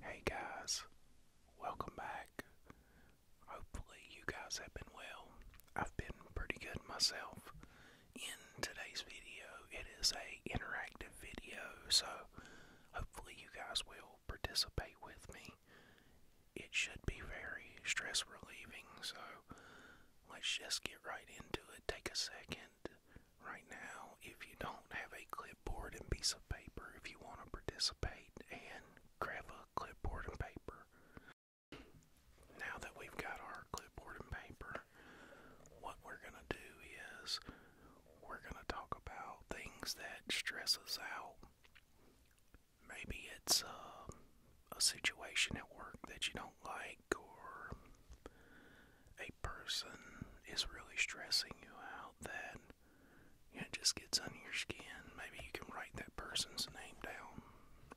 Hey guys, welcome back. Hopefully, you guys have been well. I've been pretty good myself. In today's video, it is a interactive video, so hopefully you guys will participate with me. It should be very stress relieving, so let's just get right into it. Take a second, right now if you don't have a clipboard and piece of paper if you want to participate and grab a clipboard and paper now that we've got our clipboard and paper what we're going to do is we're going to talk about things that stress us out maybe it's uh, a situation at work that you don't like or a person is really stressing you out that it just gets under your skin, maybe you can write that person's name down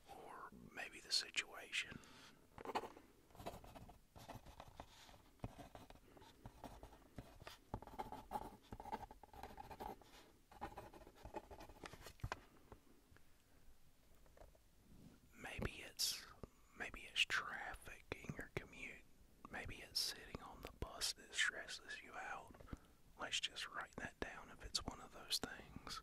or maybe the situation. Maybe it's Maybe it's traffic in your commute. Maybe it's sitting on the bus that stresses you out. Let's just write that down if it's one of those things.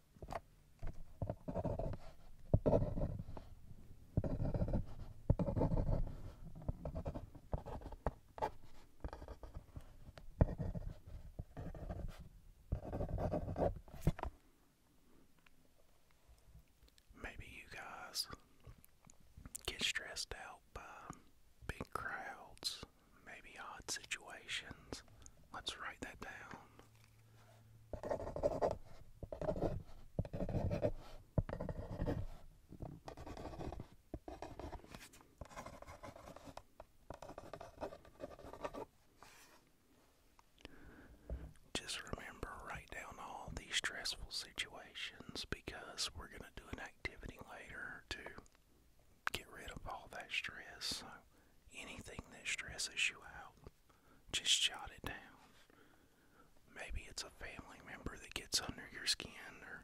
Maybe you guys get stressed out by big crowds, maybe odd situations. Let's write that down. Just remember, write down all these stressful situations because we're going to do an activity later to get rid of all that stress. So anything that stresses you out, just jot it down. Maybe it's a family member that gets under your skin, or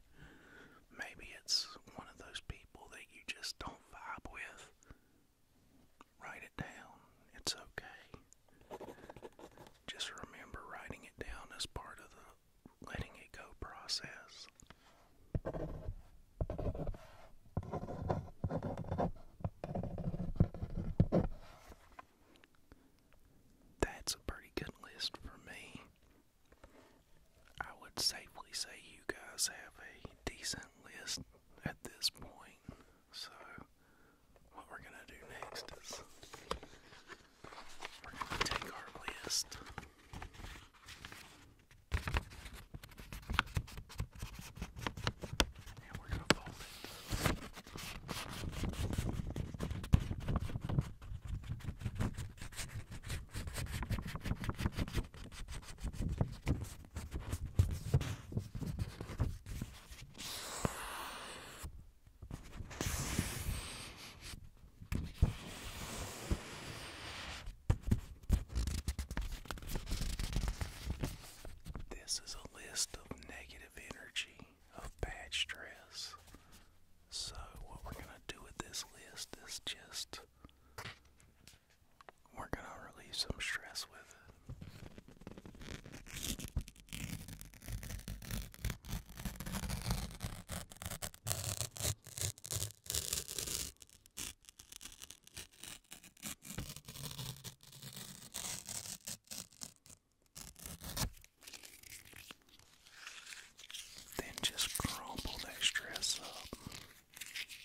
maybe it's one of those people that you just don't vibe with. Write it down. It's okay. Just remember writing it down as part of the letting it go process. That's a pretty good list for me. I would safely say you guys have a decent list at this point, so what we're going to do next is we're going to take our list. And we're going to fold it. This is a list of negative energy, of bad stress. So, what we're going to do with this list is just we're going to relieve some stress with then just crumple that stress up. Just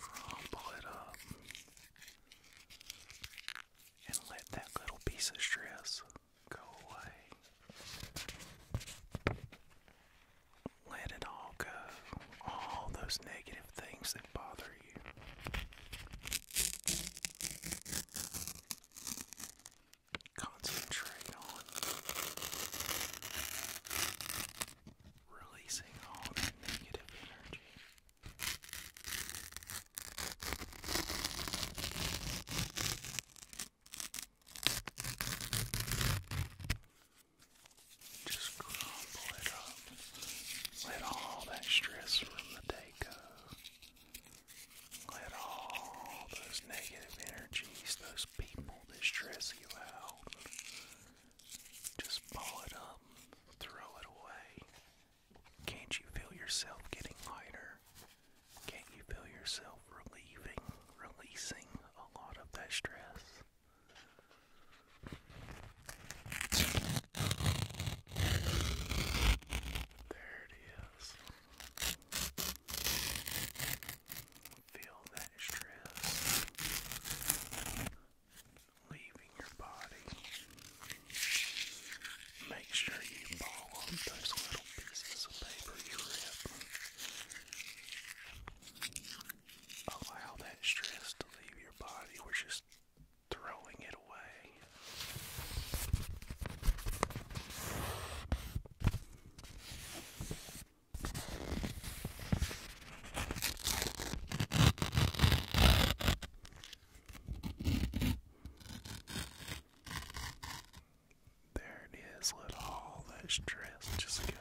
crumple it up and let that little piece of stress go away. Let it all go. All those negative things that bother you. Concentrate on releasing all that negative energy. Just crumple it up. Let all that stress from the day go. Let all those negative energies, those people that stress you out, just ball it up, throw it away. Can't you feel yourself getting lighter? Can't you feel yourself relieving, releasing a lot of that stress? There it is. Feel that stress leaving your body. Make sure you ball those little pieces of paper you rip. Allow that stress to leave your body. We're just throwing it away. There it is. Let all that stress just go.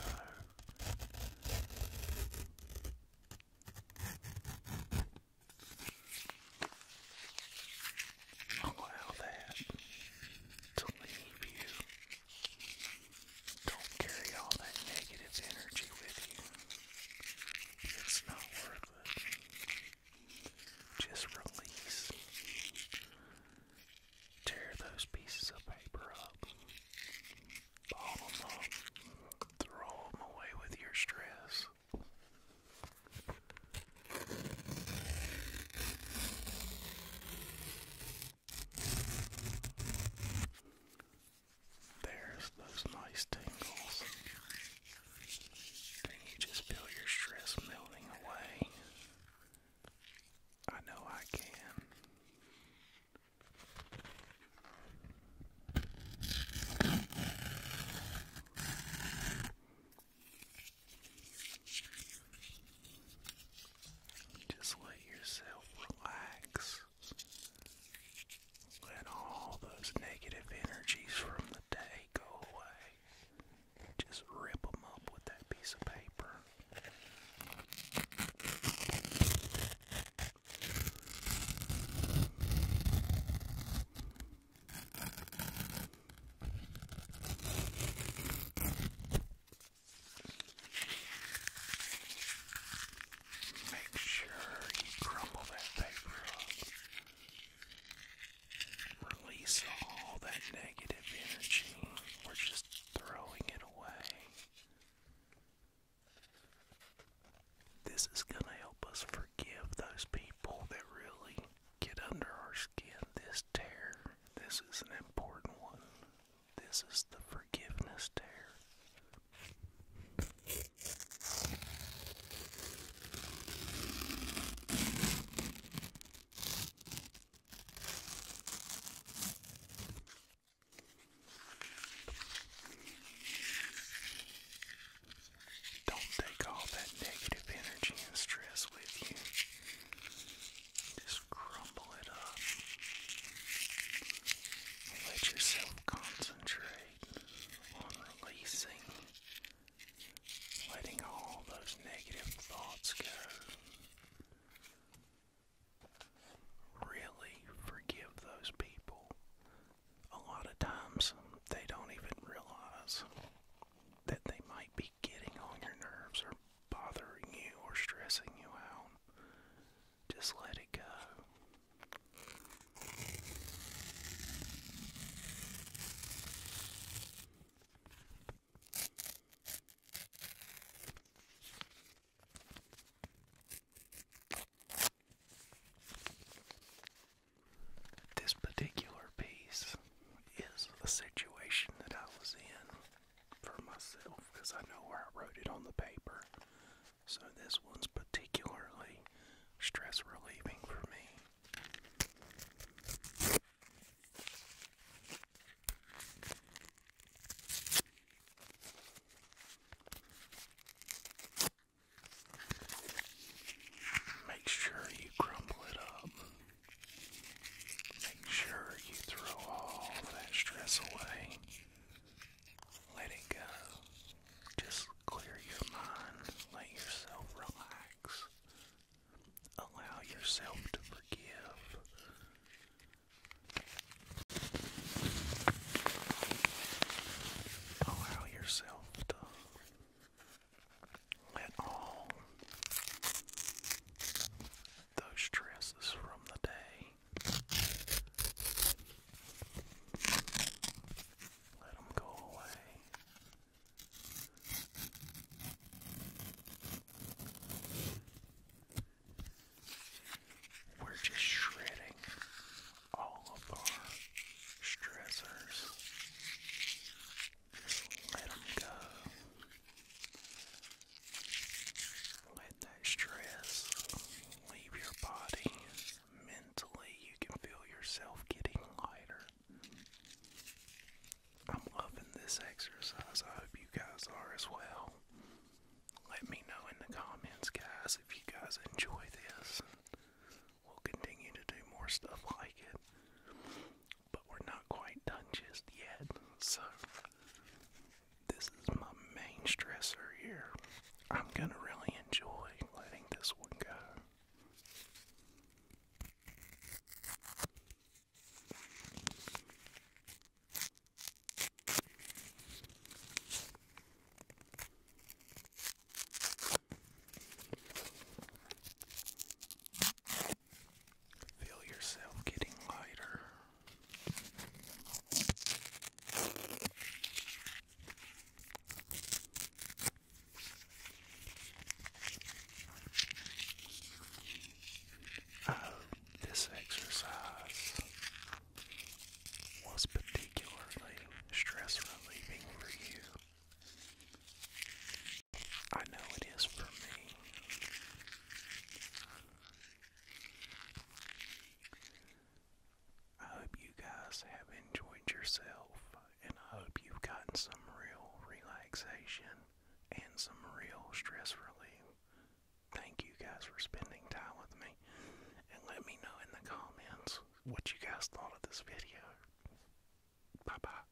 Allow that to leave you. Don't carry all that negative energy with you. It's not worth it. Just release. Tear those pieces of paper up. Ball them up. Throw them away with your stress. There's those nice tingles. just feel your stress melting away. I know I can. Just let yourself relax. Let all those negative energies from the day go away. Just rip them up with that piece of paper. Make sure you crumble that paper Release all that negative energy. We're just throwing it away. This is going to help us forgive those people that really get under our skin. This tear, this is an important one. This is the forgiveness tear. Don't take all that negative energy and stress with you. Just crumble it up. Let yourself concentrate on releasing, letting all those negative thoughts go. Really forgive those people. A lot of times they don't even realize that they might be getting on your nerves bothering you or stressing you out, just let it go. This particular piece is the situation that I was in for myself because I know where I wrote it on the paper. So this one's particularly stress relieving for me. Make sure you crumble it up. Make sure you throw all that stress away. Let it go. Just clear your mind. Let yourself relax. Allow yourself to forgive. Allow yourself to let all those stresses from the day. Let them go away. We're just shredding all of our stressors. let them go. Let that stress leave your body. Mentally, you can feel yourself getting lighter. I'm loving this exercise. I hope you guys are as well. Let me know in the comments, guys, if you guys enjoy this. We'll continue to do more stuff like it but we're not quite done just yet. So, this is my main stressor here. I'm gonna really enjoy letting this one go. Feel yourself getting lighter. Oh, this exercise was particularly stress relieving for you. I know it is for me. I hope you guys have enjoyed yourself, and I hope you've gotten some real relaxation and some real stress relief. Thank you guys for spending time with me, and let me know in the comments what you guys thought of this video. Bye bye.